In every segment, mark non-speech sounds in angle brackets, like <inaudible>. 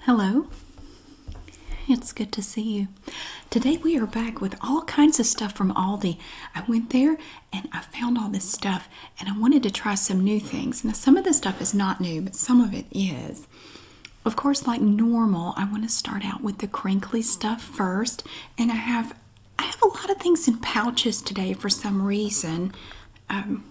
Hello. It's good to see you. Today we are back with all kinds of stuff from Aldi. I went there and I found all this stuff and I wanted to try some new things. Now, some of the stuff is not new, but some of it is. Of course, like normal, I want to start out with the crinkly stuff first. And I have I have a lot of things in pouches today for some reason. Um,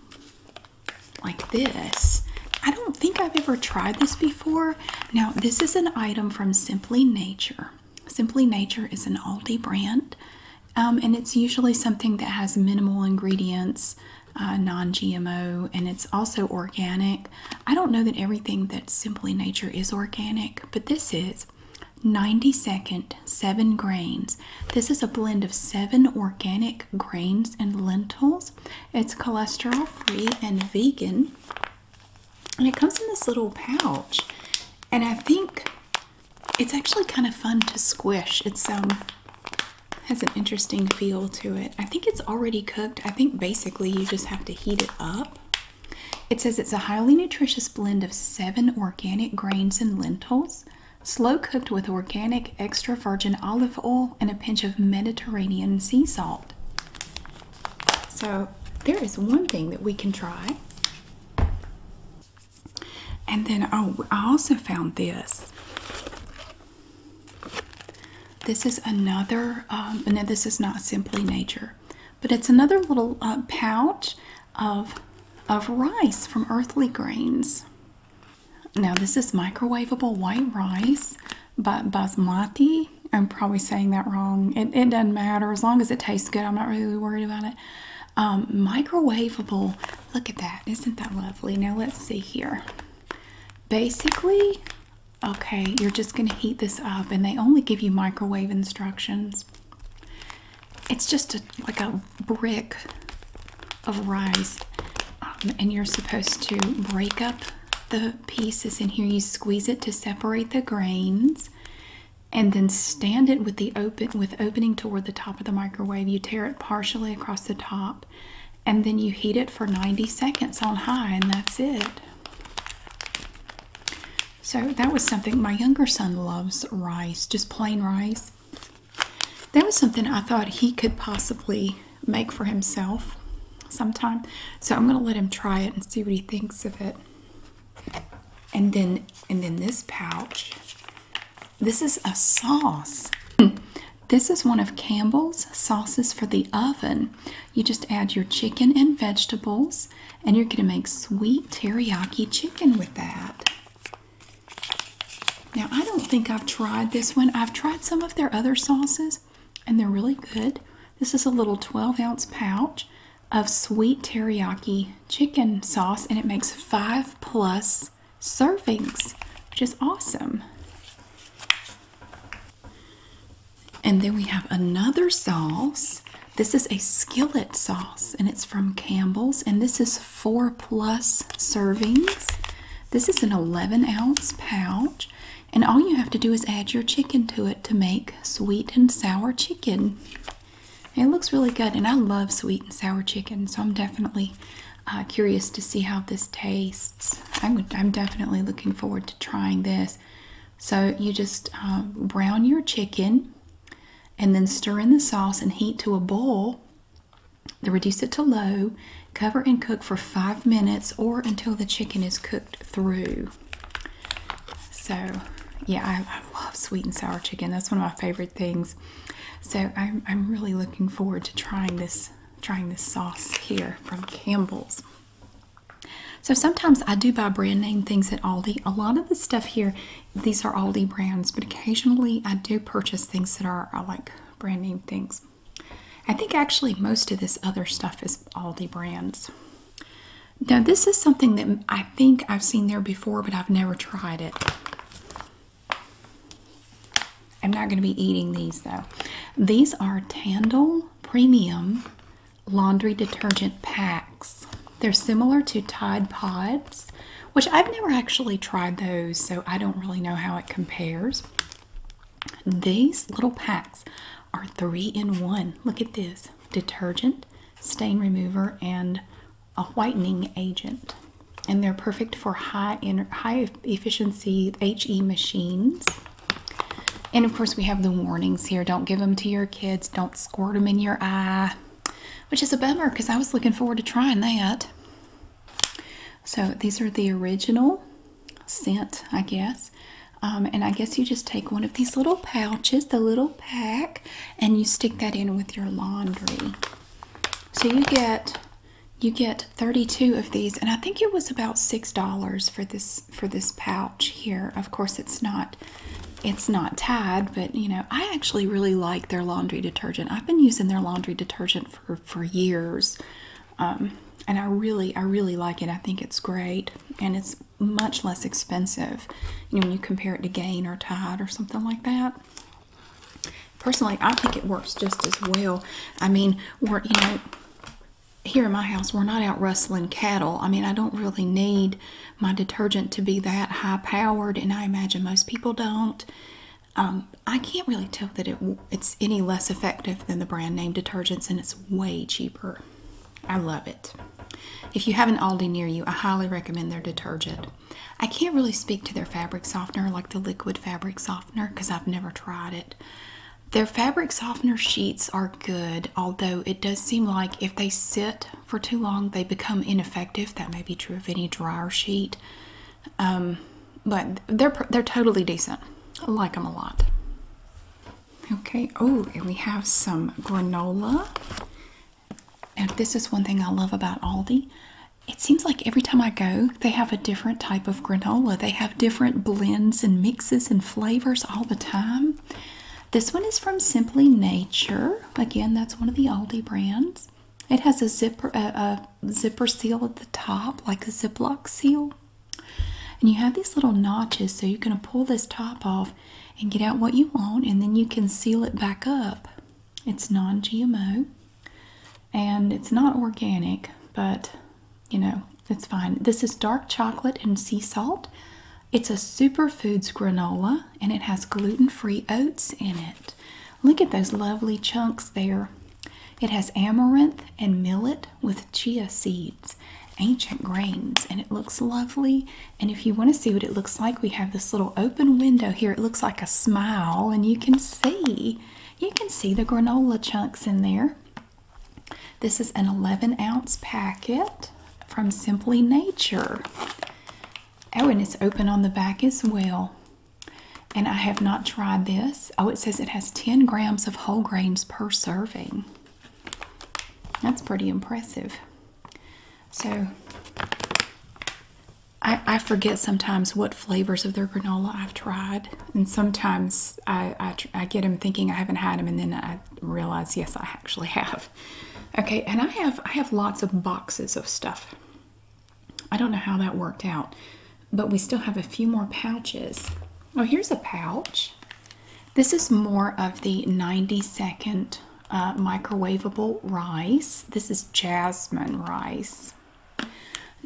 like this. I don't think I've ever tried this before. Now, this is an item from Simply Nature. Simply Nature is an Aldi brand, um, and it's usually something that has minimal ingredients, uh, non GMO, and it's also organic. I don't know that everything that's Simply Nature is organic, but this is 90 second, seven grains. This is a blend of seven organic grains and lentils. It's cholesterol free and vegan. And it comes in this little pouch. And I think it's actually kind of fun to squish. It's um has an interesting feel to it. I think it's already cooked. I think basically you just have to heat it up. It says it's a highly nutritious blend of seven organic grains and lentils, Slow cooked with organic extra virgin olive oil and a pinch of Mediterranean sea salt. So, there is one thing that we can try. And then, oh, I also found this. This is another, um, no, this is not Simply Nature, but it's another little uh, pouch of, of rice from Earthly Grains. Now, this is microwavable white rice, but basmati. I'm probably saying that wrong. It, doesn't matter. As long as it tastes good, I'm not really worried about it. Um, microwavable. Look at that. Isn't that lovely? Now, let's see here. Basically, okay, you're just going to heat this up, and they only give you microwave instructions. It's just a, like a brick of rice um, and you're supposed to break up the pieces in here. You squeeze it to separate the grains and then stand it with the open with opening toward the top of the microwave. You tear it partially across the top and then you heat it for 90 seconds on high and that's it. So that was something my younger son loves rice, just plain rice. That was something I thought he could possibly make for himself sometime. So I'm going to let him try it and see what he thinks of it. And then and then this pouch. This is a sauce. <laughs> This is one of Campbell's sauces for the oven. You just add your chicken and vegetables and you're going to make sweet teriyaki chicken with that. Now, I don't think I've tried this one. I've tried some of their other sauces, and they're really good. This is a little 12 ounce pouch of sweet teriyaki chicken sauce, and it makes five plus servings, which is awesome. And then we have another sauce. This is a skillet sauce, and it's from Campbell's, and this is four plus servings. This is an 11 ounce pouch, and all you have to do is add your chicken to it to make sweet and sour chicken. It looks really good, and I love sweet and sour chicken, so I'm definitely uh, curious to see how this tastes. I'm, definitely looking forward to trying this. So, you just um, brown your chicken and then stir in the sauce and heat to a boil they reduce it to low, cover and cook for five minutes or until the chicken is cooked through. So, yeah, I, love sweet and sour chicken. That's one of my favorite things. So I'm, really looking forward to trying this trying this sauce here from Campbell's. So sometimes I do buy brand name things at Aldi. A lot of the stuff here, these are Aldi brands, but occasionally I do purchase things that are like brand name things. I think actually most of this other stuff is Aldi brands. Now, this is something that I think I've seen there before, but I've never tried it. I'm not going to be eating these though. These are Tandle Premium Laundry Detergent Packs. They're similar to Tide Pods, which I've never actually tried those, so I don't really know how it compares. These little packs are three in one. Look at this detergent, stain remover, and a whitening agent. And they're perfect for high efficiency HE machines. And of course, we have the warnings here don't give them to your kids, don't squirt them in your eye, which is a bummer because I was looking forward to trying that. So these are the original scent, I guess. Um, and I guess you just take one of these little pouches, the little pack, and you stick that in with your laundry. So you get you get 32 of these, and I think it was about six dollars for this for this pouch here. Of course, it's not it's not tied, but you know I actually really like their laundry detergent. I've been using their laundry detergent for for years, um, and I really I really like it. I think it's great, and it's much less expensive. You know, when you compare it to Gain or Tide or something like that. Personally, I think it works just as well. I mean, we're you know here in my house we're not out rustling cattle i mean i don't really need my detergent to be that high powered and i imagine most people don't um, I can't really tell that it's any less effective than the brand name detergents, and it's way cheaper. I love it. If you have an Aldi near you, I highly recommend their detergent. I can't really speak to their fabric softener, like the liquid fabric softener, because I've never tried it. Their fabric softener sheets are good, although it does seem like if they sit for too long, they become ineffective. That may be true of any dryer sheet. Um, but they're they're totally decent. I like them a lot. Okay. Oh, we have some granola. And this is one thing I love about Aldi. It seems like every time I go, they have a different type of granola. They have different blends and mixes and flavors all the time. This one is from Simply Nature. Again, that's one of the Aldi brands. It has a zipper, a, zipper seal at the top, like a Ziploc seal. And you have these little notches, so you're going to pull this top off and get out what you want, and then you can seal it back up. It's non GMO and it's not organic, but you know, it's fine. This is dark chocolate and sea salt. It's a superfoods granola and it has gluten free oats in it. Look at those lovely chunks there. It has amaranth and millet with chia seeds, ancient grains, and it looks lovely. And if you want to see what it looks like, we have this little open window here. It looks like a smile, and you can see. You can see the granola chunks in there. This is an 11 ounce packet from Simply Nature. Oh, and it's open on the back as well. And I have not tried this. Oh, it says it has 10 grams of whole grains per serving. That's pretty impressive. So I, forget sometimes what flavors of their granola I've tried. And sometimes I get them thinking I haven't had them and then I realize, yes, I actually have. Okay, and I have I have lots of boxes of stuff. I don't know how that worked out, but we still have a few more pouches. Oh, here's a pouch. This is more of the 90 second uh, microwavable rice. This is jasmine rice.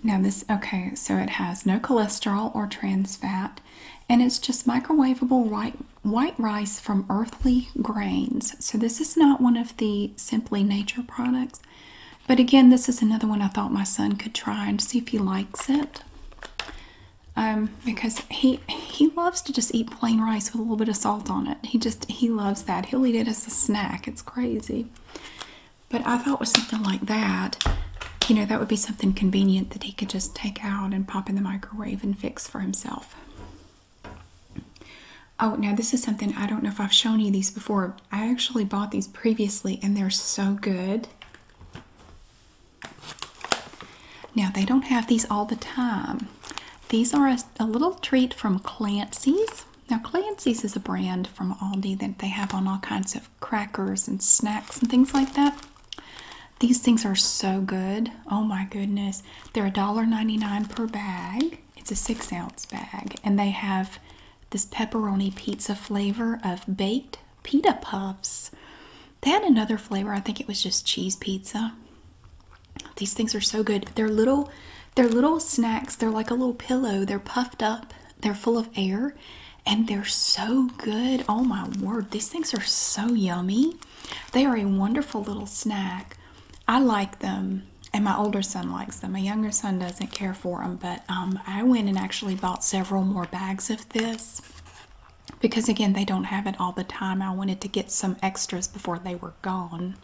Now, this, okay, so it has no cholesterol or trans fat, and it's just microwavable white, rice from earthly grains. So, this is not one of the Simply Nature products. But again, this is another one I thought my son could try and see if he likes it. Um, because he he loves to just eat plain rice with a little bit of salt on it. He just he loves that. He'll eat it as a snack. It's crazy. But I thought was something like that, you know, that would be something convenient that he could just take out and pop in the microwave and fix for himself. Oh, now this is something I don't know if I've shown you these before, I actually bought these previously and they're so good. Now they don't have these all the time. These are a, a little treat from Clancy's. Now Clancy's is a brand from Aldi that they have on all kinds of crackers and snacks and things like that. These things are so good. Oh my goodness. They're $1.99 per bag. It's a six ounce bag and they have this pepperoni pizza flavor of baked pita puffs. They had another flavor. I think it was just cheese pizza. These things are so good. They're little they're little snacks. They're like a little pillow. They're puffed up. They're full of air and they're so good. Oh my word. These things are so yummy. They are a wonderful little snack. I like them and my older son likes them. My younger son doesn't care for them, but um, I went and actually bought several more bags of this because, again, they don't have it all the time. I wanted to get some extras before they were gone.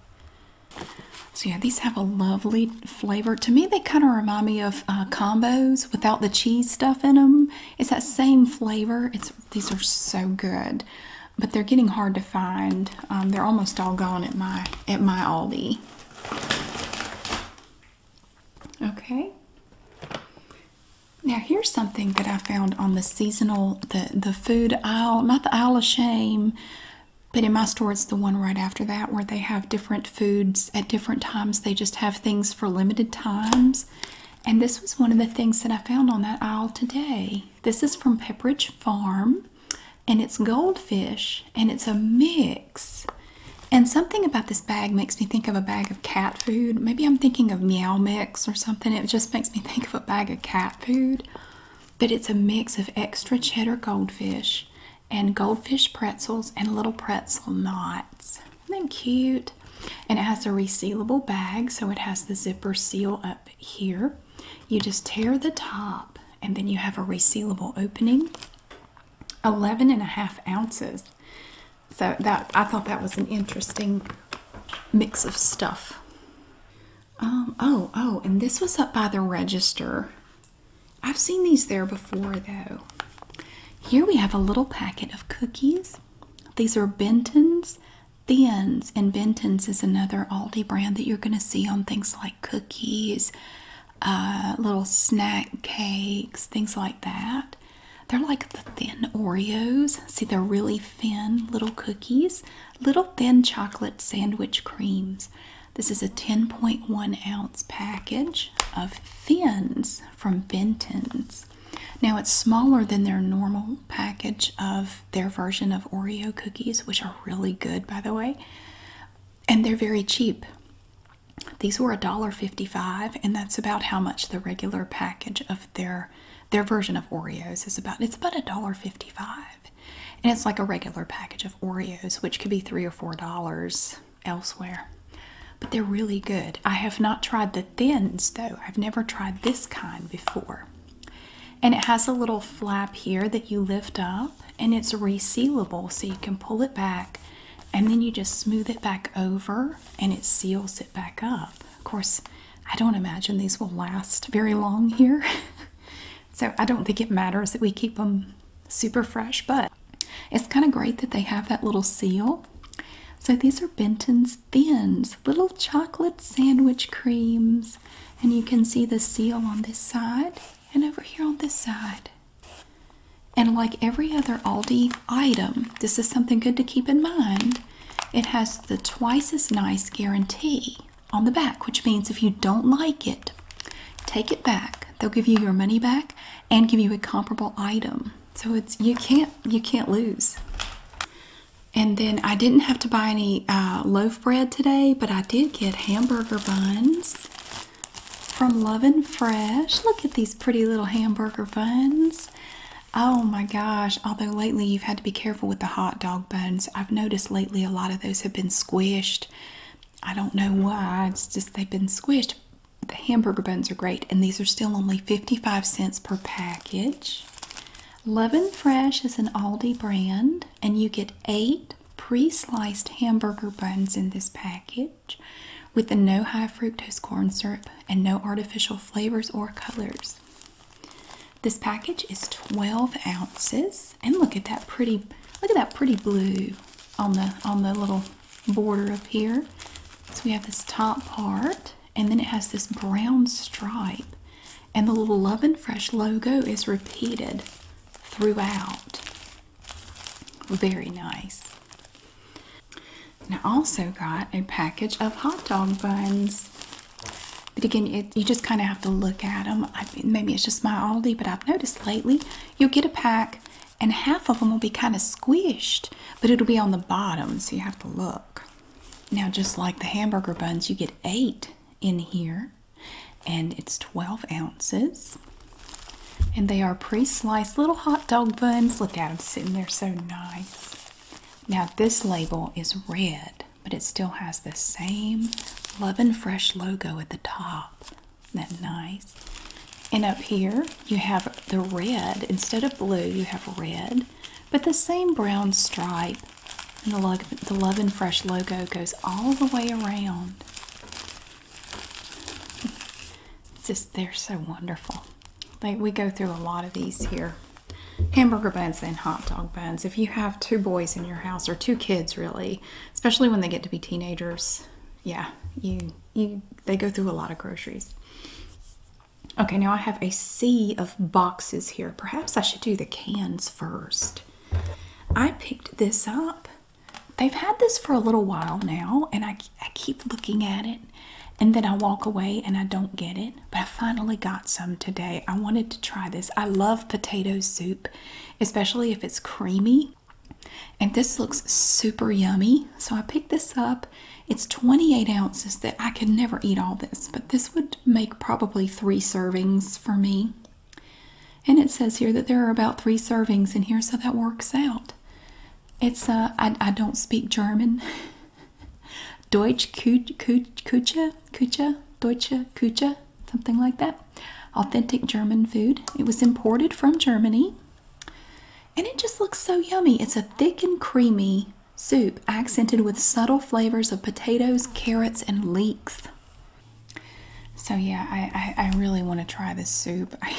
So, yeah, these have a lovely flavor. To me, they kind of remind me of uh, combos without the cheese stuff in them. It's that same flavor. It's These are so good. But they're getting hard to find. Um, they're almost all gone at my at my Aldi. Okay. Now here's something that I found on the seasonal the the food aisle, not the aisle of shame, but in my store it's the one right after that where they have different foods at different times. They just have things for limited times. And this was one of the things that I found on that aisle today. This is from Pepperidge Farm and it's goldfish and it's a mix. And something about this bag makes me think of a bag of cat food. Maybe I'm thinking of Meow Mix or something. It just makes me <laughs> think of a bag of cat food. But it's a mix of extra cheddar goldfish and goldfish pretzels and little pretzel knots. Isn't cute? And it has a resealable bag, so it has the zipper seal up here. You just tear the top, and then you have a resealable opening. 11 and a half ounces. So that I thought that was an interesting mix of stuff. Um, oh, oh, and this was up by the register. I've seen these there before though. Here we have a little packet of cookies. These are Benton's Thins, and Benton's is another Aldi brand that you're going to see on things like cookies, uh, little snack cakes, things like that. They're like the thin Oreos. See, they're really thin little cookies, little thin chocolate sandwich creams. This is a 10.1 ounce package of Thins from Benton's. Now, it's smaller than their normal package of their version of Oreo cookies, which are really good, by the way and they're very cheap. These were a dollar fifty-five, and that's about how much the regular package of their their version of Oreos is about. It's about a dollar fifty-five, And it's like a regular package of Oreos, which could be three or four dollars elsewhere. But they're really good. I have not tried the thins though. I've never tried this kind before. And it has a little flap here that you lift up and it's resealable so you can pull it back and then you just smooth it back over and it seals it back up. Of course, I don't imagine these will last very long here. <laughs> so I don't think it matters that we keep them super fresh, but it's kind of great that they have that little seal. So these are Benton's Thins, little chocolate sandwich creams. And you can see the seal on this side and over here on this side. And like every other Aldi item, this is something good to keep in mind. It has the twice as nice guarantee on the back, which means if you don't like it, take it back. They'll give you your money back and give you a comparable item. So it's you can't you can't lose. And then I didn't have to buy any uh, loaf bread today, but I did get hamburger buns from Love and Fresh. Look at these pretty little hamburger buns. Oh my gosh, although lately you've had to be careful with the hot dog buns. I've noticed lately a lot of those have been squished. I don't know why, it's just they've been squished. The hamburger buns are great, and these are still only 55 cents per package. Love and Fresh is an Aldi brand, and you get eight pre pre-sliced hamburger buns in this package with the no high fructose corn syrup and no artificial flavors or colors. This package is 12 ounces and look at that pretty look at that pretty blue on the on the little border up here. So we have this top part and then it has this brown stripe and the little Love and Fresh logo is repeated throughout. Very nice. And I also got a package of hot dog buns. But again, you just kind of have to look at them. maybe it's just my Aldi, but I've noticed lately you'll get a pack and half of them will be kind of squished, but it'll be on the bottom, so you have to look. Now, just like the hamburger buns, you get eight in here and it's 12 ounces. And they are pre sliced little hot dog buns. Look at them sitting there so nice. Now, this label is red, but it still has the same Love and Fresh logo at the top. that nice? And up here, you have the red. Instead of blue, you have red, but the same brown stripe. And the Love and Fresh logo goes all the way around just they're so wonderful. Like we go through a lot of these here. Hamburger buns and hot dog buns. If you have two boys in your house or two kids really, especially when they get to be teenagers, yeah, you you they go through a lot of groceries. Okay, now I have a sea of boxes here. Perhaps I should do the cans first. I picked this up they've had this for a little while now, and I, keep looking at it, and then I walk away and I don't get it. But I finally got some today. I wanted to try this. I love potato soup, especially if it's creamy. And this looks super yummy. So I picked this up. It's 28 ounces that I could never eat all this, but this would make probably three servings for me. And it says here that there are about three servings in here, so that works out. It's uh, I, don't speak German. <laughs> Deutsch Kucha, Kucha, Deutsche Kucha, something like that. Authentic German food. It was imported from Germany. And it just looks so yummy. It's a thick and creamy soup accented with subtle flavors of potatoes, carrots, and leeks. So yeah, I, I, really want to try this soup. <laughs> I,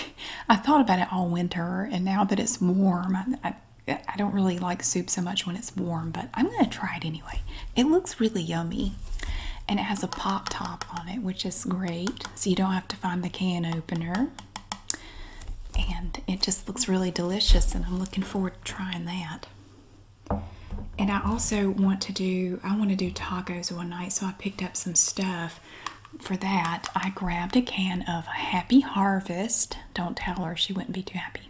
I thought about it all winter, and now that it's warm, I, I don't really like soup so much when it's warm, but I'm going to try it anyway. It looks really yummy, and it has a pop top on it, which is great, so you don't have to find the can opener. And it just looks really delicious, and I'm looking forward to trying that. And I also want to do, I want to do tacos one night, so I picked up some stuff for that. I grabbed a can of Happy Harvest. Don't tell her, she wouldn't be too happy.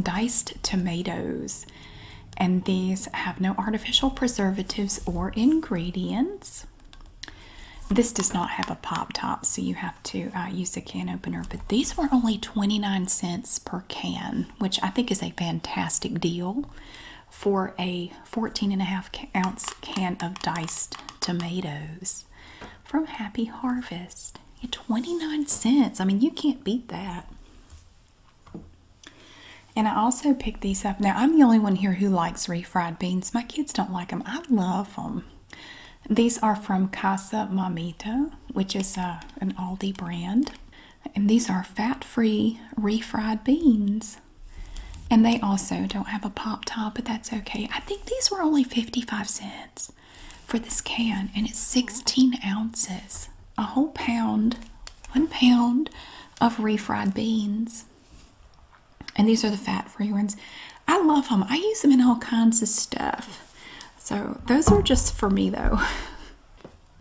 Diced tomatoes. And these have no artificial preservatives or ingredients. This does not have a pop top, so you have to uh, use a can opener. But these were only 29 cents per can, which I think is a fantastic deal for a 14 and a half ounce can of diced tomatoes from Happy Harvest at 29 cents. I mean, you can't beat that. And I also picked these up. Now, I'm the only one here who likes refried beans. My kids don't like them. I love them. These are from Casa Mamita, which is uh, an Aldi brand. And these are fat free refried beans. And they also don't have a pop top, but that's okay. I think these were only 55 cents for this can, and it's 16 ounces. A whole pound, one pound of refried beans. And these are the fat free ones. I love them, I use them in all kinds of stuff. So, those are just for me though. <laughs>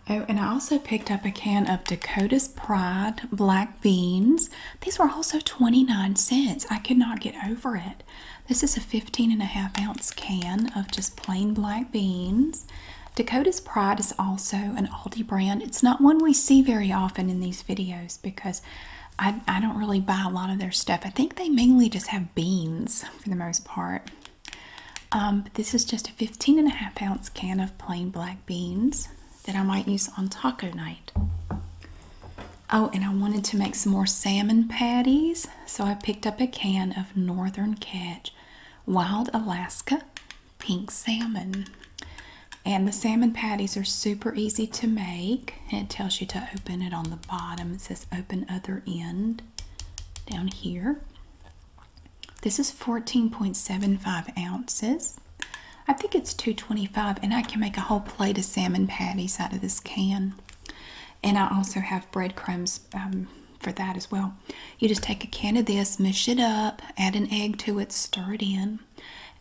Oh, and I also picked up a can of Dakota's Pride black beans. These were also 29 cents. I could not get over it. This is a 15 and a half ounce can of just plain black beans. Dakota's Pride is also an Aldi brand. It's not one we see very often in these videos because I don't really buy a lot of their stuff. I think they mainly just have beans for the most part. Um, this is just a 15 and a half ounce can of plain black beans that I might use on taco night. Oh, and I wanted to make some more salmon patties, so I picked up a can of Northern Catch Wild Alaska Pink Salmon. And the salmon patties are super easy to make. It tells you to open it on the bottom. It says open other end down here. This is 14.75 ounces. I think it's 225 and I can make a whole plate of salmon patties out of this can. And I also have breadcrumbs um, for that as well. You just take a can of this, mush it up, add an egg to it, stir it in,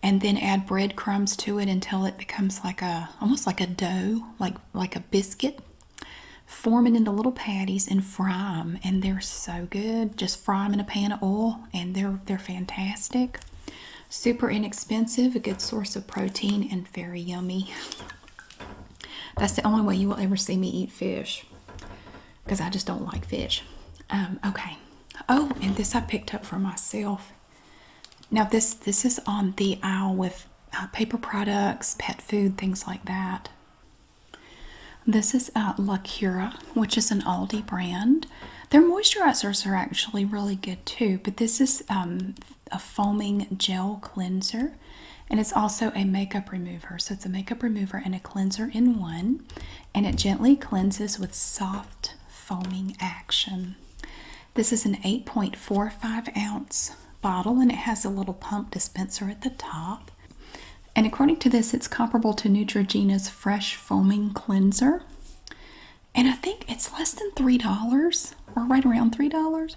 and then add breadcrumbs to it until it becomes like a almost like a dough, like like a biscuit. forming into little patties and fry them, and they're so good. Just fry them in a pan of oil and they're they're fantastic. Super inexpensive, a good source of protein and very yummy. That's the only way you will ever see me eat fish because I just don't like fish. Um, okay. Oh, and this I picked up for myself. Now this this is on the aisle with uh, paper products, pet food, things like that. This is at La Cura, which is an Aldi brand. Their moisturizers are actually really good too, but this is um, a foaming gel cleanser and it's also a makeup remover. So it's a makeup remover and a cleanser in one, and it gently cleanses with soft foaming action. This is an 8.45 ounce bottle and it has a little pump dispenser at the top. And according to this, it's comparable to Neutrogena's Fresh Foaming Cleanser. And I think it's less than $3 or right around $3.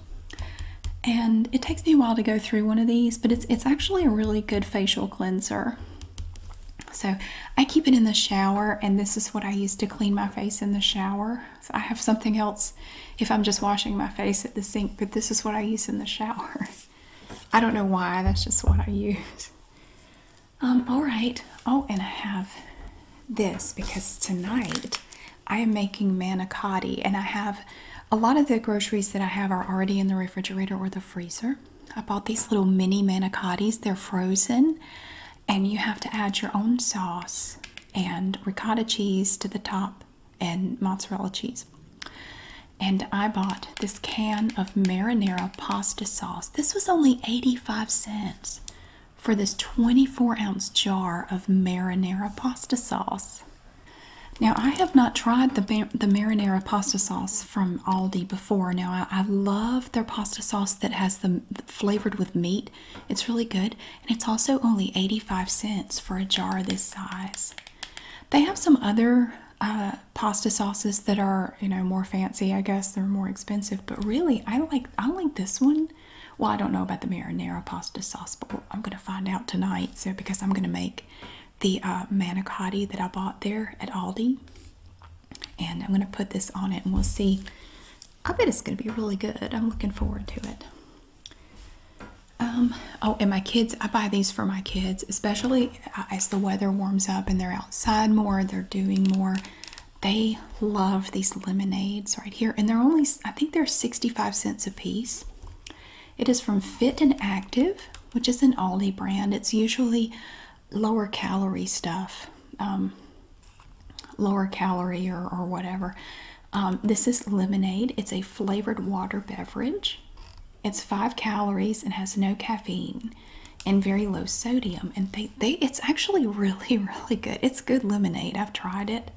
And it takes me a while to go through one of these, but it's, it's actually a really good facial cleanser. So I keep it in the shower, and this is what I use to clean my face in the shower. So I have something else if I'm just washing my face at the sink, but this is what I use in the shower. <laughs> I don't know why, that's just what I use. Um, all right. Oh, and I have this because tonight I am making manicotti, and I have a lot of the groceries that I have are already in the refrigerator or the freezer. I bought these little mini manicottis, they're frozen, and you have to add your own sauce and ricotta cheese to the top and mozzarella cheese. And I bought this can of marinara pasta sauce. This was only 85 cents for this 24 ounce jar of marinara pasta sauce. Now, I have not tried the, the marinara pasta sauce from Aldi before. Now, I, love their pasta sauce that has the, the flavored with meat. It's really good. And it's also only 85 cents for a jar this size. They have some other uh, pasta sauces that are you know more fancy. I guess they're more expensive, but really I like I like this one. Well, I don't know about the marinara pasta sauce, but I'm gonna find out tonight. So because I'm gonna make the uh, manicotti that I bought there at Aldi, and I'm gonna put this on it, and we'll see. I bet it's gonna be really good. I'm looking forward to it. Um, oh, and my kids, I buy these for my kids, especially uh, as the weather warms up and they're outside more, they're doing more. They love these lemonades right here, and they're only, I think they're 65 cents a piece. It is from Fit and Active, which is an Aldi brand. It's usually lower calorie stuff, um, lower calorie or, or whatever. Um, this is lemonade, it's a flavored water beverage. It's five calories and has no caffeine and very low sodium. And they, they it's actually <laughs> really, really good. It's good lemonade. I've tried it.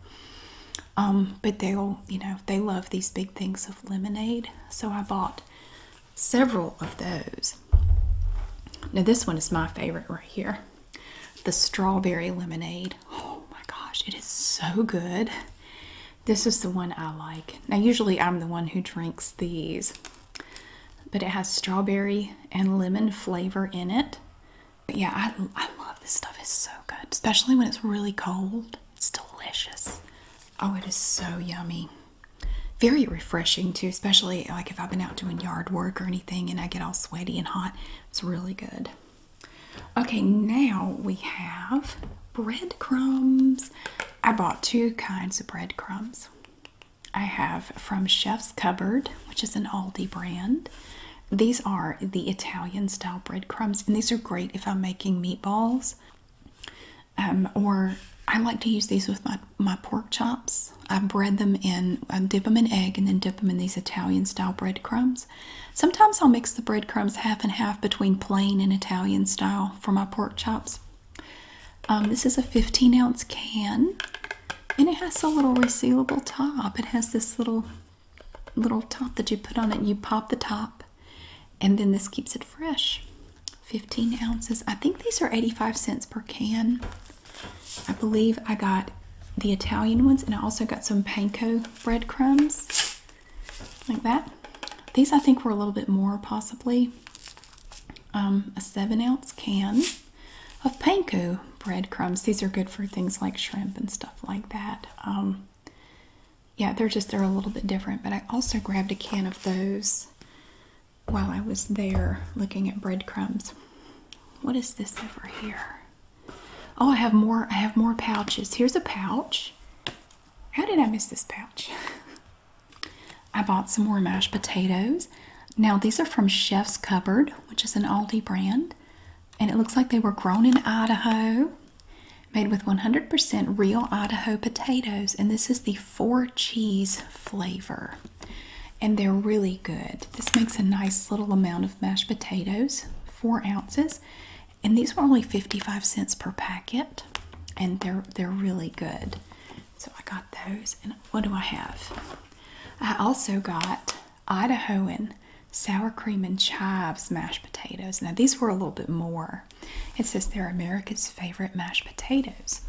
Um, but they'll, you know, they love these big things of lemonade. So I bought several of those. Now this one is my favorite right here. The strawberry lemonade. Oh my gosh, it is so good. This is the one I like. Now, usually I'm the one who drinks these, but it has strawberry and lemon flavor in it. But yeah, I, I love this stuff. It's so good, especially when it's really cold. It's delicious. Oh, it is so yummy. Very refreshing, too, especially like if I've been out doing yard work or anything and I get all sweaty and hot. It's really good. Okay, now we have breadcrumbs. I bought two kinds of breadcrumbs. I have from Chef's Cupboard, which is an Aldi brand. These are the Italian style breadcrumbs, and these are great if I'm making meatballs. Um, or I like to use these with my, my pork chops. I bread them in, I dip them in egg and then dip them in these Italian style breadcrumbs. Sometimes I'll mix the breadcrumbs half and half between plain and Italian style for my pork chops. Um, this is a 15 ounce can and it has a little resealable top. It has this little little top that you put on it. You pop the top and then this keeps it fresh. 15 ounces. I think these are 85 cents per can. I believe I got the Italian ones and I also got some panko breadcrumbs like that. These I think were a little bit more, possibly um, a seven ounce can of panko breadcrumbs. These are good for things like shrimp and stuff like that. Um, yeah, they're just they're a little bit different. But I also grabbed a can of those while I was there looking at breadcrumbs. What is this over here? Oh, I have more. I have more pouches. Here's a pouch. How did I miss this pouch? <laughs> I bought some more mashed potatoes. Now, these are from Chef's Cupboard, which is an Aldi brand, and it looks like they were grown in Idaho, made with 100% real Idaho potatoes, and this is the four cheese flavor. And they're really good. This makes a nice little amount of mashed potatoes, four ounces, and these were only 55 cents per packet and they're they're really good so i got those and what do i have i also got idahoan sour cream and chives mashed potatoes now these were a little bit more it says they're america's favorite mashed potatoes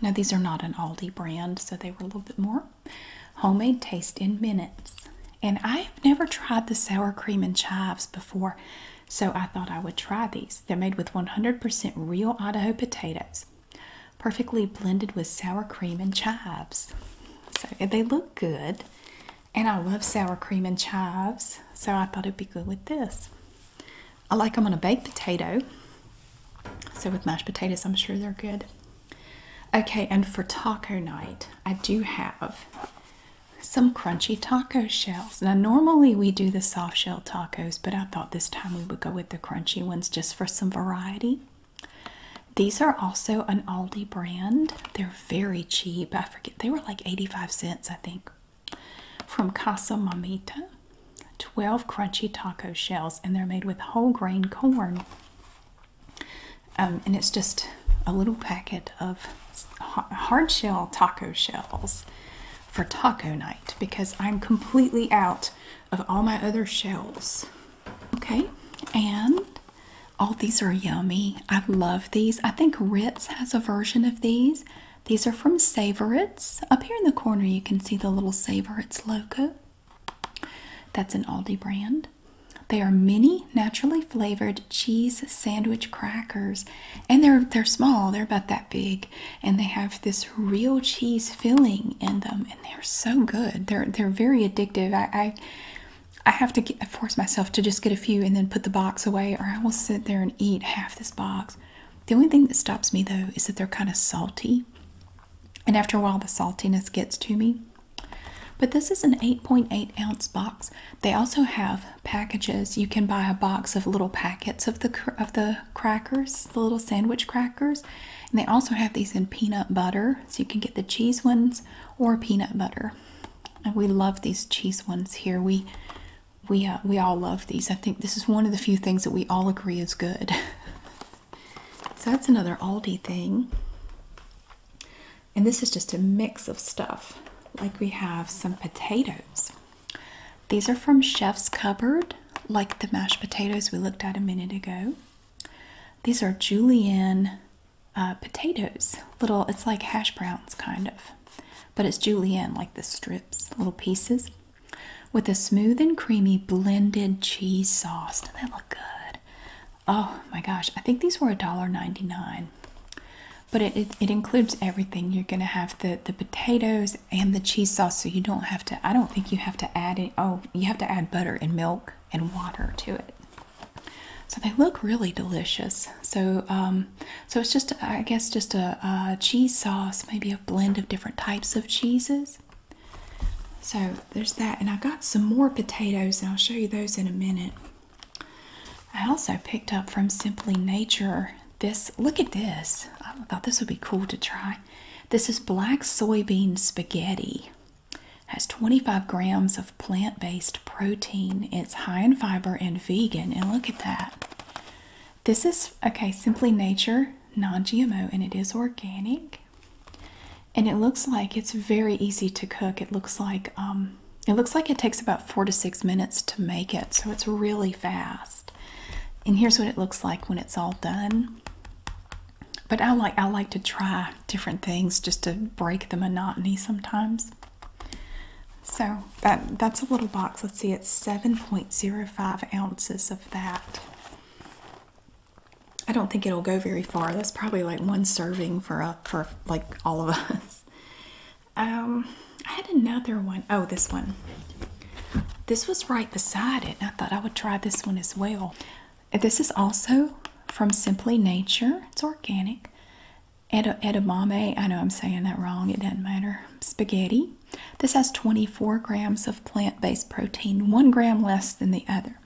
now these are not an aldi brand so they were a little bit more homemade taste in minutes and i have never tried the sour cream and chives before so I thought I would try these. They're made with 100% real Idaho potatoes, perfectly blended with sour cream and chives. So they look good, and I love sour cream and chives, so I thought it'd be good with this. I like them on a baked potato, so with mashed potatoes, I'm sure they're good. Okay, and for taco night, I do have some crunchy taco shells. Now, normally we do the soft shell tacos, but I thought this time we would go with the crunchy ones just for some variety. These are also an Aldi brand. They're very cheap. I forget, they were like 85 cents, I think. From Casa Mamita. 12 crunchy taco shells, and they're made with whole grain corn. Um, and it's just a little packet of hard shell taco shells for taco night because I'm completely out of all my other shells. Okay, and all these are yummy. I love these. I think Ritz has a version of these. These are from Savorits. Up here in the corner, you can see the little Savorits logo. That's an Aldi brand. They are mini naturally flavored cheese sandwich crackers and they're they're small they're about that big and they have this real cheese filling in them and they're so good they're they're very addictive i i, have to get, force myself to just get a few and then put the box away or i will sit there and eat half this box the only thing that stops me though is that they're kind of salty and after a while the saltiness gets to me but this is an 8.8 ounce box they also have packages. You can buy a box of little packets of the of the crackers, the little sandwich crackers, and they also have these in peanut butter. So you can get the cheese ones or peanut butter. And we love these cheese ones here. We we uh, we all love these. I think this is one of the few things that we all agree is good. <laughs> so that's another Aldi thing. And this is just a mix of stuff. Like we have some potatoes. These are from Chef's Cupboard, like the mashed potatoes we looked at a minute ago. These are julienne uh, potatoes. Little, it's like hash browns kind of, but it's julienne, like the strips, little pieces, with a smooth and creamy blended cheese sauce. Doesn't that look good? Oh my gosh, I think these were a dollar ninety nine but it, it, includes everything you're gonna have the the potatoes and the cheese sauce so you don't have to i don't think you have to add it. oh you have to add butter and milk and water to it so they look really delicious so um so it's just i guess just a cheese sauce maybe a blend of different types of cheeses so there's that and i got some more potatoes and i'll show you those in a minute I also picked up from Simply Nature this. Look at this. I thought this would be cool to try. This is black soybean spaghetti. Has 25 grams of plant-based protein. It's high in fiber and vegan. And look at that. This is okay, Simply Nature, non-GMO, and it is organic. And it looks like it's very easy to cook. It looks like um it looks like it takes about four to six minutes to make it, so it's really fast. And here's what it looks like when it's all done. But I like I like to try different things just to break the monotony sometimes. So that that's a little box. Let's see, it's 7.05 ounces of that. I don't think it'll go very far. That's probably like one serving for a, uh, for like all of us. Um, I had another one. Oh, this one. This was right beside it, and I thought I would try this one as well. This is also from Simply Nature. It's organic. edamame, I know I'm saying that wrong, it doesn't matter. Spaghetti. This has 24 grams of plant based protein, one gram less than the other.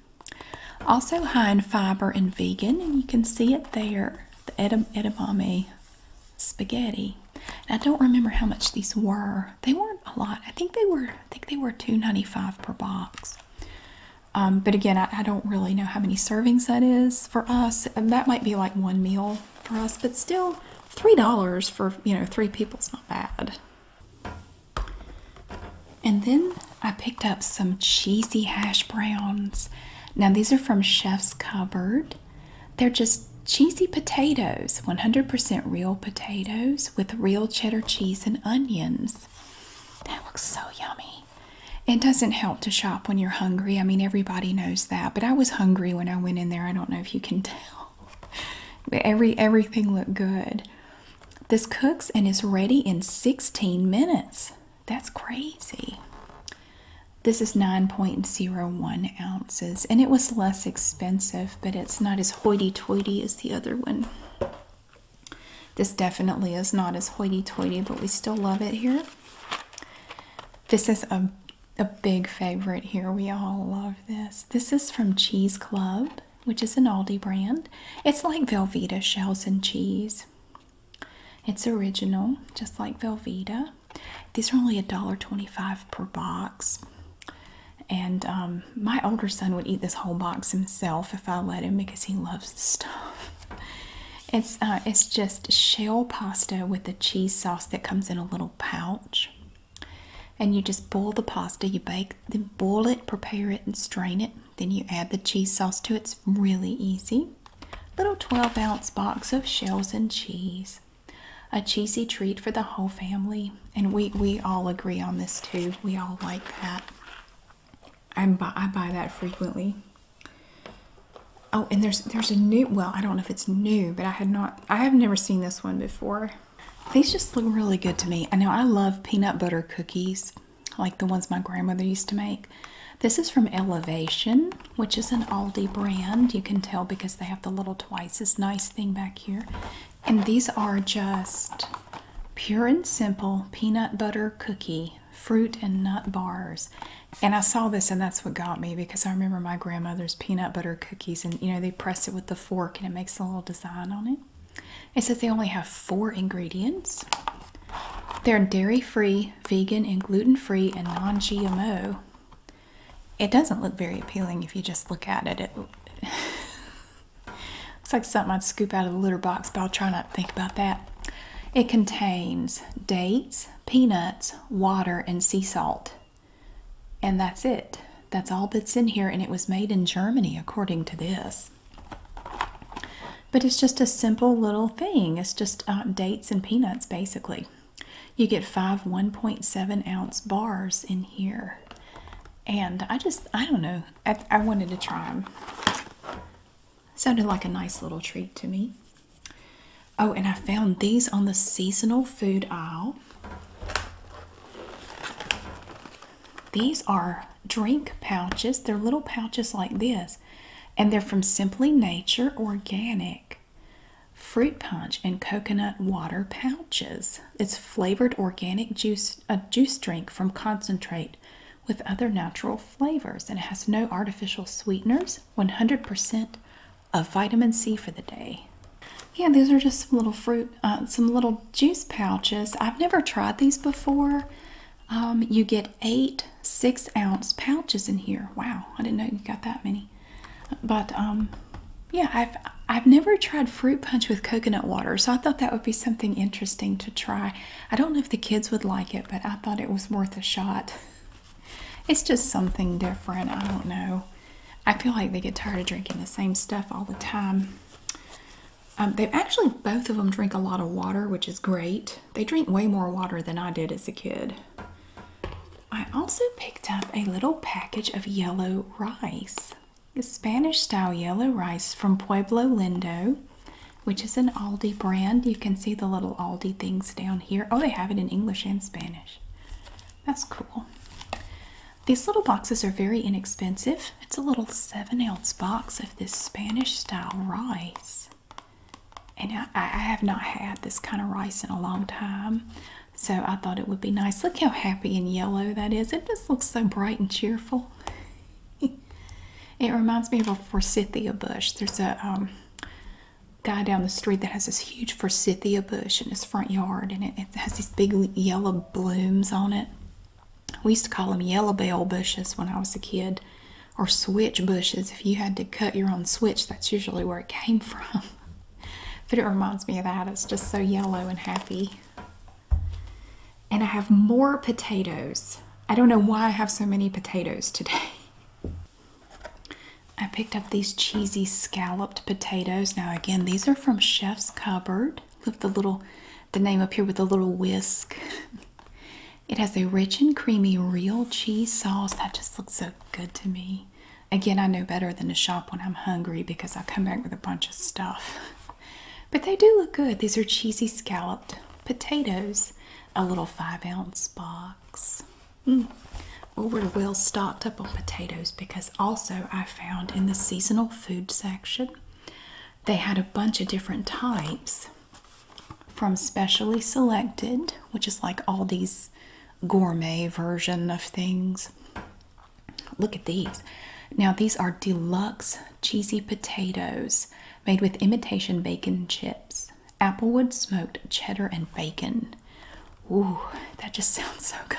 Also high in fiber and vegan, and you can see it there the edamame spaghetti. I don't remember how much these were. They weren't a lot. I think they were. I think they were two ninety five per box. Um, but again, I, don't really know how many servings that is for us. that might be like one meal for us, but still, three dollars for you know three people is not bad. And then I picked up some cheesy hash browns. Now, these are from Chef's Cupboard. They're just cheesy potatoes, 100% real potatoes with real cheddar cheese and onions. That looks so yummy. It doesn't help to shop when you're hungry. I mean, everybody knows that, but I was hungry when I went in there. I don't know if you can <laughs> tell. Every everything looked good. This cooks and is ready in 16 minutes. That's crazy. This is 9.01 ounces, and it was less expensive, but it's not as hoity toity as the other one. This definitely is not as hoity toity, but we still love it here. This is a, a big favorite here. We all love this. This is from Cheese Club, which is an Aldi brand. It's like Velveeta shells and cheese. It's original, just like Velveeta. These are only $1.25 per box. And um, my older son would eat this whole box himself if I let him because he loves the stuff. <laughs> It's uh, it's just shell pasta with a cheese sauce that comes in a little pouch, and you just boil the pasta. You bake, then boil it, prepare it, and strain it. Then you add the cheese sauce to it. It's really easy. Little 12 ounce box of shells and cheese. A cheesy treat for the whole family. And we, we all agree on this too. We all like that. I buy, I buy that frequently. Oh, and there's there's a new well, I don't know if it's new, but I had not I have never seen this one before. These just look really good to me. I know I love peanut butter cookies, like the ones my grandmother used to make. This is from Elevation, which is an Aldi brand. You can tell because they have the little twice as nice thing back here. And these are just pure and simple peanut butter cookie fruit and nut bars. And I saw this and that's what got me because I remember my grandmother's peanut butter cookies and you know they press it with the fork and it makes a little design on it. It says they only have four ingredients. They're dairy free, vegan, and gluten free, and non GMO. It doesn't look very appealing if you just look at it. It <laughs> looks like something I'd scoop out of the litter box, but I'll try not to think about that. It contains dates, peanuts, water, and sea salt. And that's it. That's all that's in here, and it was made in Germany, according to this. But it's just a simple little thing. It's just uh, dates and peanuts basically. You get five 1.7 ounce bars in here. And I just, I don't know, I wanted to try them. Sounded like a nice little treat to me. Oh, and I found these on the seasonal food aisle. These are drink pouches. They're little pouches like this, and they're from Simply Nature Organic Fruit Punch and Coconut Water Pouches. It's flavored organic juice, a juice drink from concentrate with other natural flavors, and it has no artificial sweeteners, 100% of vitamin C for the day. Yeah, these are just some little fruit, uh, some little juice pouches. I've never tried these before. Um, you get eight six ounce pouches in here. Wow, I didn't know you got that many. But um, yeah, I've I've never tried fruit punch with coconut water, so I thought that would be something interesting to try. I don't know if the kids would like it, but I thought it was worth a shot. <laughs> It's just something different. I don't know. I feel like they get tired of drinking the same stuff all the time. Um, they actually both of them drink a lot of water, which is great. They drink way more water than I did as a kid. I also picked up a little package of yellow rice. The Spanish style yellow rice from Pueblo Lindo, which is an Aldi brand. You can see the little Aldi things down here. Oh, they have it in English and Spanish. That's cool. These little boxes are very inexpensive. It's a little 7 ounce box of this Spanish style rice and I, have not had this kind of rice in a long time so i thought it would be nice look how happy and yellow that is it just looks so bright and cheerful <laughs> it reminds me of a forsythia bush there's a um, guy down the street that has this huge forsythia bush in his front yard and it has these big yellow blooms on it we used to call them yellow bell bushes when i was a kid or switch bushes. If you had to cut your own switch, that's usually where it came <laughs> from. but it reminds me of that. It's just so yellow and happy. And I have more potatoes. I don't know why I have so many potatoes today. <laughs> I picked up these cheesy scalloped potatoes. Now again, these are from Chef's Cupboard. Look the little, the name up here with the little whisk. <laughs> It has a rich and creamy real cheese sauce that just looks so good to me. Again, I know better than to shop when I'm hungry because I come back with a bunch of stuff. But they do look good. These are cheesy scalloped potatoes, a little five ounce box. Mm. Well, we're well stocked up on potatoes because also I found in the seasonal food section they had a bunch of different types from specially selected, which is like all these gourmet version of things. Look at these. Now these are deluxe cheesy potatoes made with imitation bacon chips, applewood smoked cheddar and bacon. Ooh, that just <laughs> sounds so good.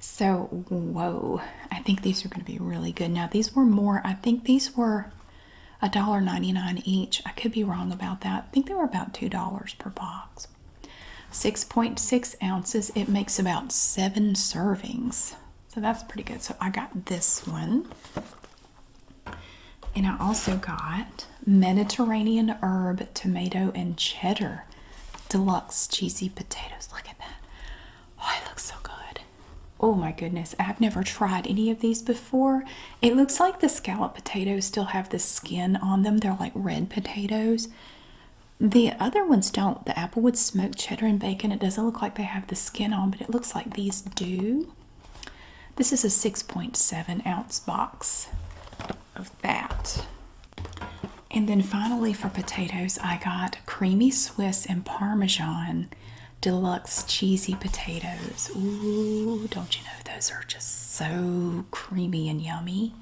So, whoa, I think these are going to be really good. Now, these were more, I think these were $1.99 each. I could be wrong about that. think they were about $2 per box. 6.6 ounces. It makes about seven servings. So that's pretty good. So I got this one. And I also got Mediterranean herb, tomato, and cheddar deluxe cheesy potatoes. Look at that. Oh, it looks so good. Oh my goodness, I've never tried any of these before. It looks like the scallop potatoes still have the skin on them. They're like red potatoes. The other ones don't. The applewood smoked cheddar and bacon, it doesn't look like they have the skin on, but it looks like these do. This is a 6.7 ounce box of that. And then finally for potatoes, I got creamy Swiss and Parmesan deluxe cheesy potatoes. Ooh, don't you know those are just so creamy and yummy?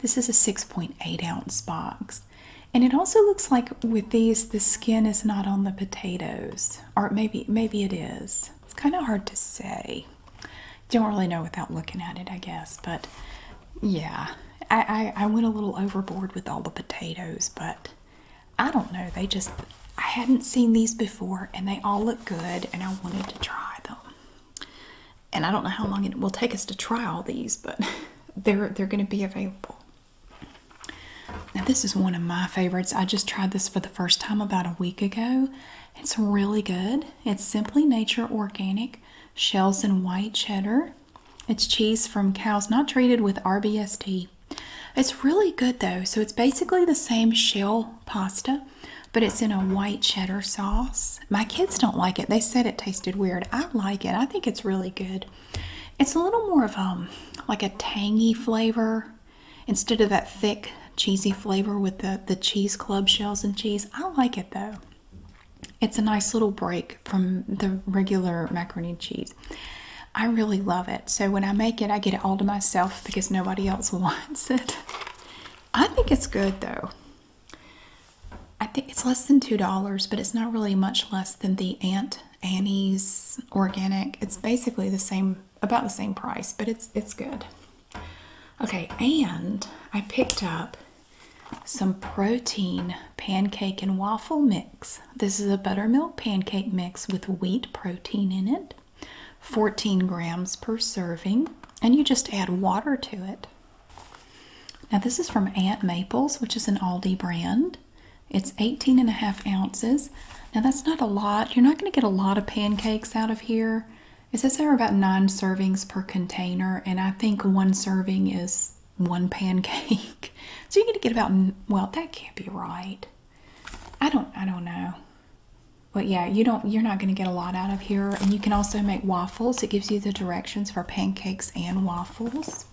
This is a 6.8 ounce box. And it also looks like with these the skin is not on the potatoes. Or maybe maybe it is. It's kind of hard to say. Don't really know without looking at it, I guess, but yeah. I, I, I went a little overboard with all the potatoes, but I don't know. They just, I hadn't seen these before and they all look good and I wanted to try them. And I don't know how long it will take us to try all these, but <laughs> they're, they're going to be available. Now, this is one of my favorites. I just tried this for the first time about a week ago. It's really good. It's Simply Nature Organic Shells and White Cheddar. It's cheese from cows not treated with RBST it's really good though. So it's basically the same shell pasta, but it's in a white cheddar sauce. My kids don't like it. They said it tasted weird. I like it. I think it's really good. It's a little more of um like a tangy flavor instead of that thick cheesy flavor with the the cheese club shells and cheese. I like it though. It's a nice little break from the regular macaroni and cheese. I really love it. So when I make it, I get it all to myself because nobody else <laughs> wants it. I think it's good though. I think it's less than $2, but it's not really much less than the Aunt Annie's organic. It's basically the same, about the same price, but it's it's good. Okay, and I picked up some protein pancake and waffle mix. This is a buttermilk pancake mix with wheat protein in it. 14 grams per serving, and you just add water to it. Now, this is from Aunt Maples, which is an Aldi brand. It's 18 and a half ounces. Now, that's not a lot. You're not going to get a lot of pancakes out of here. It says there are about nine servings per container, and I think one serving is one pancake. <laughs> so you're going to get about, well, that can't be right. I don't I don't know. But yeah, you don't you're not going to get a lot out of here and you can also make waffles. It gives you the directions for pancakes and waffles.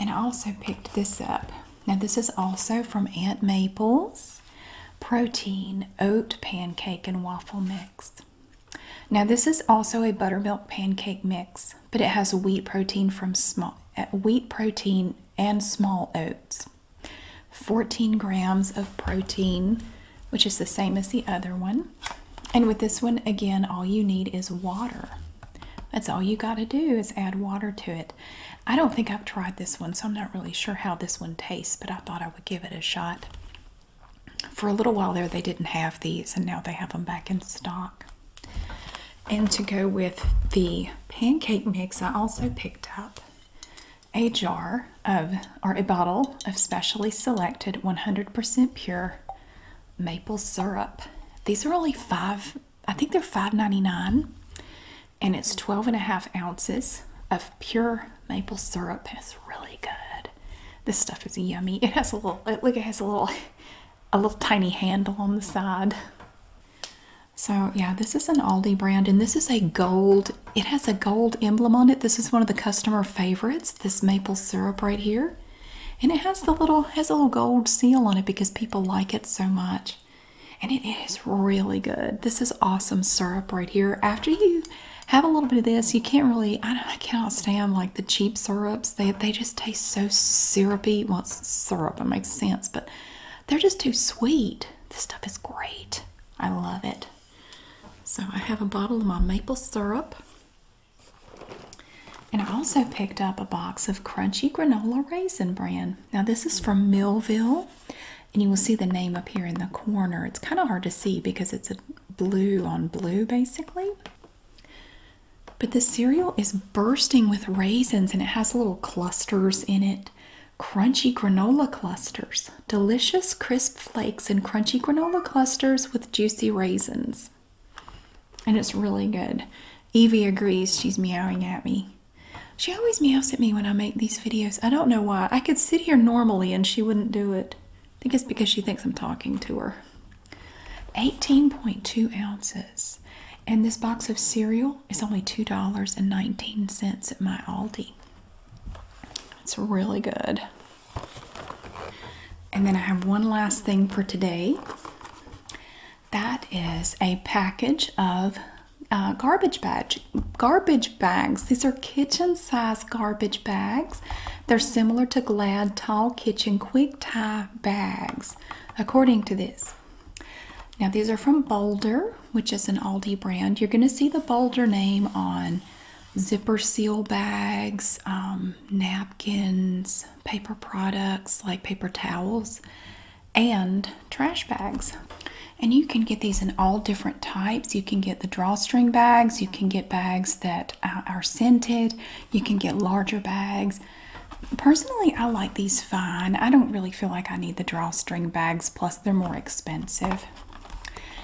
And I also picked this up. Now this is also from Aunt Maple's protein oat pancake and waffle mix. Now this is also a buttermilk pancake mix, but it has wheat protein from small uh, wheat protein and small oats. 14 grams of protein, which is the same as the other one. And with this one, again, all you need is water. That's all you got to do is add water to it. I don't think I've tried this one, so I'm not really sure how this one tastes, but I thought I would give it a shot. For a little while there, they didn't have these, and now they have them back in stock. And to go with the pancake mix, I also picked up a jar of, or a bottle of specially selected 100% pure maple syrup. These are only five, I think they are 5.99, and it's 12 and a half ounces of pure maple syrup. It's really good. This stuff is yummy. It has a little, look, it has a little, <laughs> a little tiny handle on the side. So yeah, this is an Aldi brand and this is a gold, it has a gold emblem on it. This is one of the customer favorites, this maple syrup right here. And it has the little has a little gold seal on it because people like it so much. And it is really good. This is awesome syrup right here. After you have a little bit of this, you can't really I, I cannot stand like the cheap syrups. They they just taste so syrupy. Once it's syrup, it makes sense, but they're just too sweet. This stuff is great. I love it. So I have a bottle of my maple syrup. And I also picked up a box of crunchy granola raisin brand. Now this is from Millville. And you will see the name up here in the corner. It's kind of hard to see because it's a blue on blue basically. But the cereal is bursting with raisins and it has little clusters in it. Crunchy granola clusters. Delicious crisp flakes and crunchy granola clusters with juicy raisins. And it's really good. Evie agrees. She's meowing at me. She always meows at me when I make these videos. I don't know why. I could sit here normally and she wouldn't do it. I think it's because she thinks I'm talking to her. 18.2 ounces. And this box of cereal is only $2.19 at my Aldi. It's really good. And then I have one last thing for today. That is a package of uh, garbage bags. Garbage bags. These are kitchen-size garbage bags. They're similar to Glad Tall Kitchen Quick Tie bags, according to this. Now these are from Boulder, which is an Aldi brand. You're going to see the Boulder name on zipper seal bags, um, napkins, paper products like paper towels, and trash bags. And you can get these in all different types. You can get the drawstring bags, you can get bags that uh, are scented, you can get larger bags, Personally, I like these fine. I don't really feel like I need the drawstring bags, plus, they're more expensive.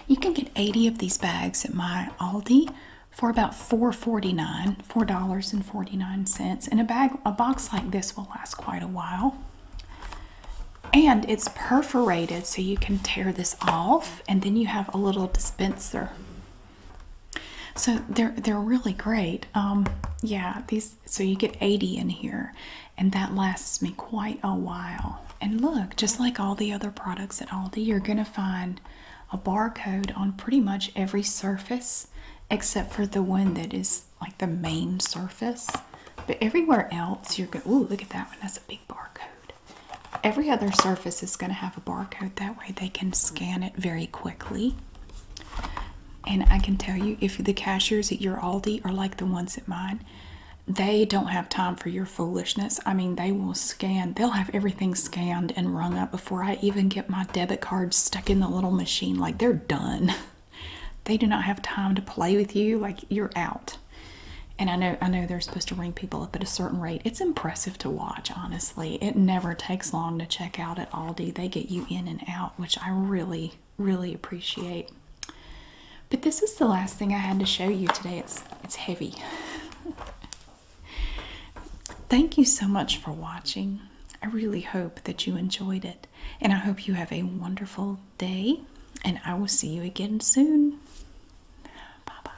You can get 80 of these bags at my Aldi for about $4.49, $4.49. And a bag, a box like this will last quite a while. And it's perforated so you can tear this off and then you have a little dispenser. So they're they're really great. Um, yeah, these so you get 80 in here and that lasts me quite a while and look just like all the other products at aldi you're going to find a barcode on pretty much every surface except for the one that is like the main surface but everywhere else you're going to oh look at that one that's a big barcode every other surface is going to have a barcode that way they can scan it very quickly and I can tell you, if the cashiers at your Aldi are like the ones at mine, they don't have time for your foolishness. I mean, they will scan, they'll have everything scanned and rung up before I even get my debit card stuck in the little machine. Like, they're done. <laughs> they do not have time to play with you. Like, you're out. And I know, I know they're supposed to ring people up at a certain rate. It's impressive to watch, honestly. It never takes long to check out at Aldi. They get you in and out, which I really really appreciate. But this is the last thing I had to show you today. It's it's heavy. Thank you so much for watching. I really hope that you enjoyed it and I hope you have a wonderful day and I will see you again soon. Bye-bye.